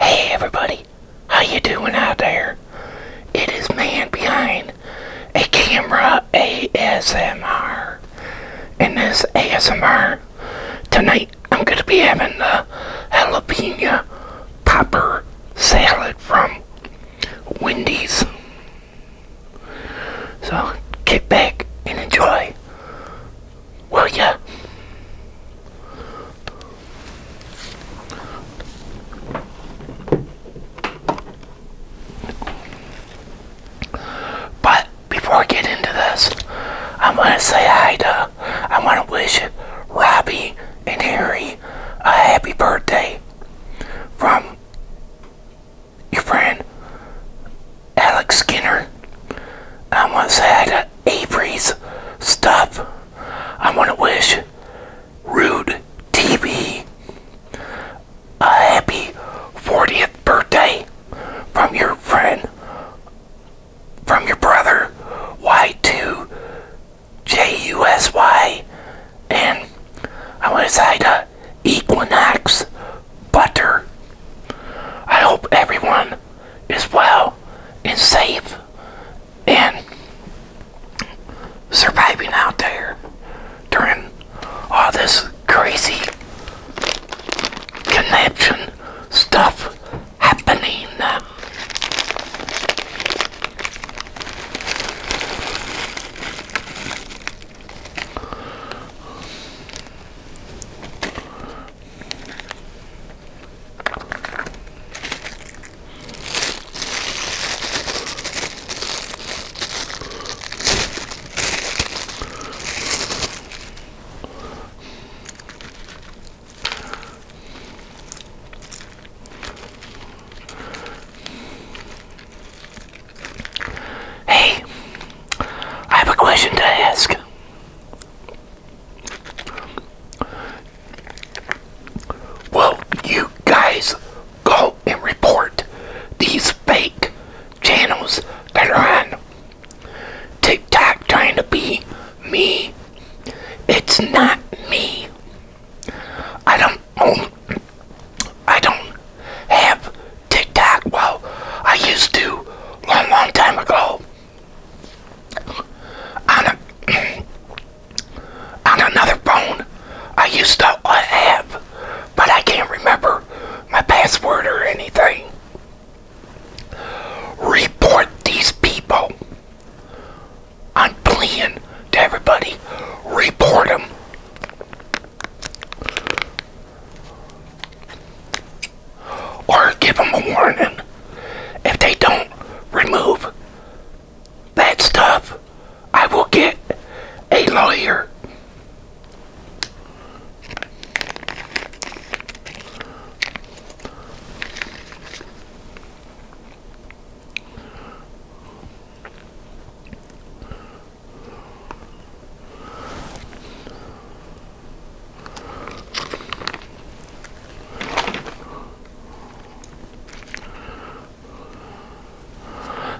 Hey everybody, how you doing out there? It is man behind a camera ASMR. and this ASMR, tonight I'm going to be having the jalapeno popper salad from Wendy's. So, get back and enjoy. Well, yeah. But before I get into this, i want to say hi to, I wanna wish Robbie and Harry a happy birthday from your friend Alex Skinner. I want to say to Avery's stuff. I want to wish Rude TV a happy 40th birthday from your friend, from your brother, Y2 JUSY. And I want to say to Equinox butter. I hope everyone is well and safe and surviving out there during all this crazy connection stuff happening. Hey, I have a question to ask. Will you guys go and report these fake channels that are on TikTok trying to be me? It's not me. I don't I don't have TikTok? Well, I used to long, long time ago. On a on another phone, I used to have, but I can't remember my password or anything. Report these people. I'm pleading to everybody. Report them or give them a warning if they don't remove that stuff I will get a lawyer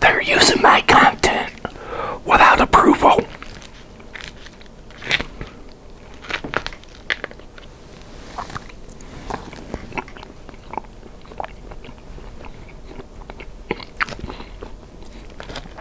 they're using my content without approval.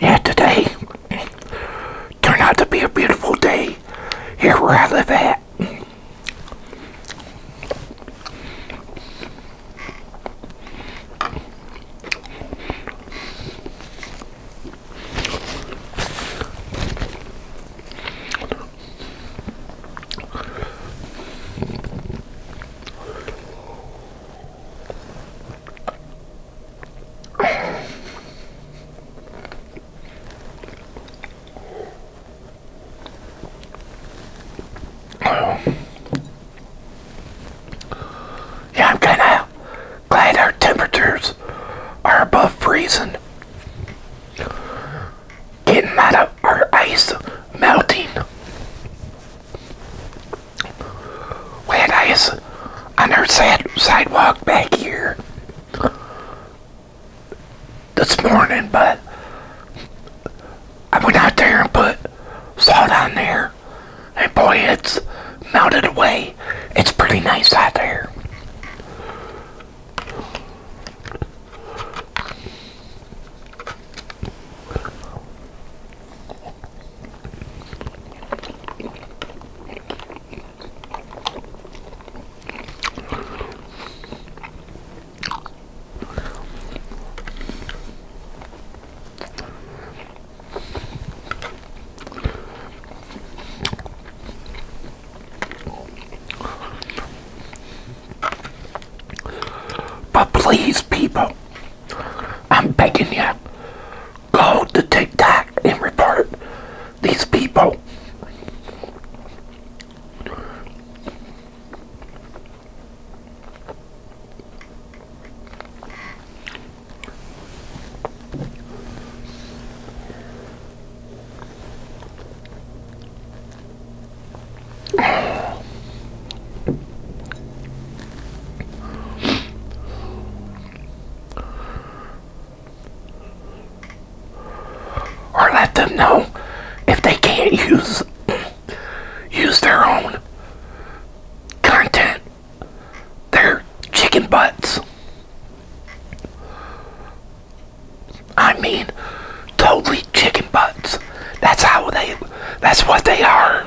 Yeah, today Turned out to be a beautiful day here where I live at. Yeah, I'm kind of glad our temperatures are above freezing. Getting out of our ice melting. We had on our sad sidewalk back here this morning, but I went out there and put salt on there, and boy, it's melted away. It's pretty nice out there. But please, people, I'm begging you, go to TikTok and report these people. Or let them know if they can't use use their own content, They're chicken butts. I mean, totally chicken butts. That's how they. That's what they are.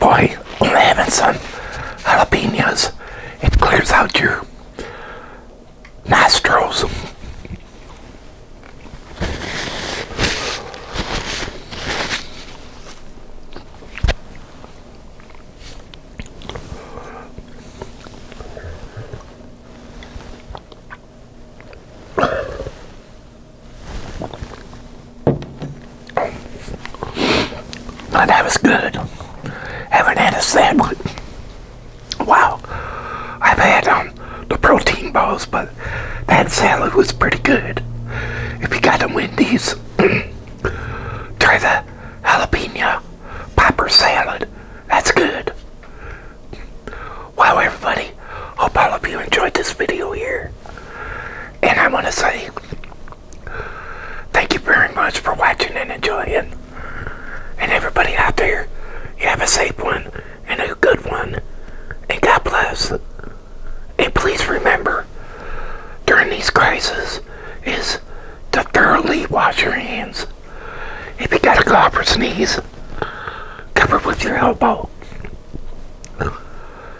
by having some jalapenos. It clears out your nostrils that was good. Having that a sandwich. Wow. I've had um, the protein balls, but that salad was pretty good. If you got a Wendy's, try the jalapeno pepper salad. That's good. Wow, everybody. Hope all of you enjoyed this video here. And I want to say thank you very much for watching and enjoying. And everybody out there, you have a safe one and a good one. And God bless. And please remember, during these crises, is to thoroughly wash your hands. If you got a cough or sneeze, cover with your elbow.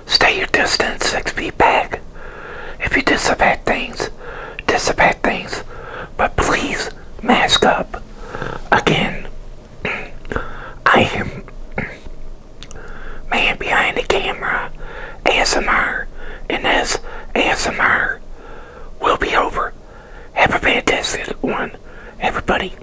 Stay your distance, six feet back. If you disinfect things, disinfect things, but please mask up. Again, I am man behind the camera, ASMR, and this ASMR will be over. Have a fantastic one, everybody.